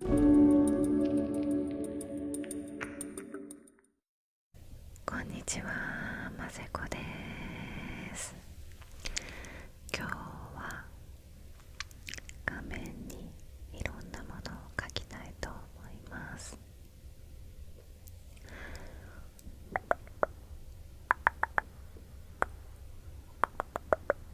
こんにちは、まぜこです今日は画面にいろんなものを描きたいと思います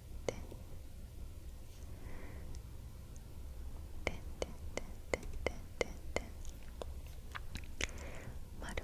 ten, ten, ten, ten, ten, ten, ten. Maru,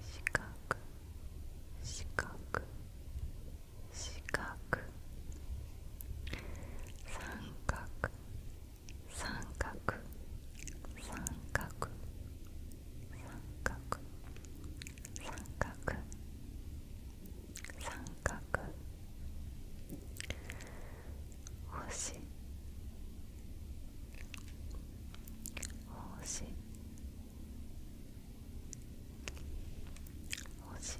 四角四角四角三角三角三角三角三角三角星星星星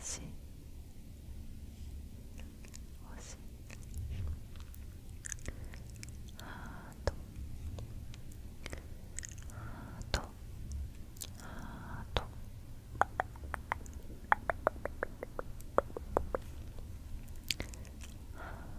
星星ハートハートハートハー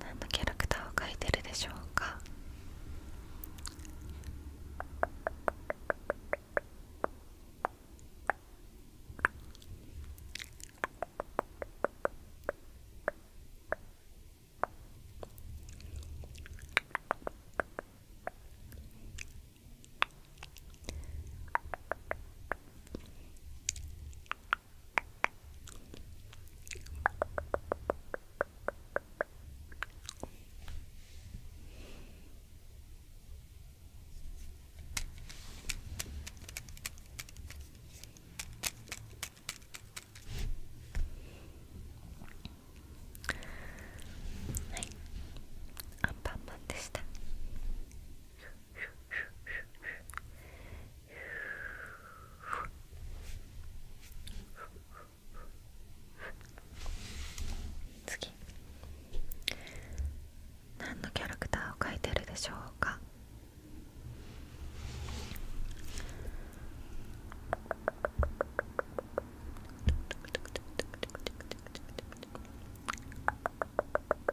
何のキャラクターを描いてるでしょうかはいアンパンマンでした次何のキャラクターを描いてるでしょうか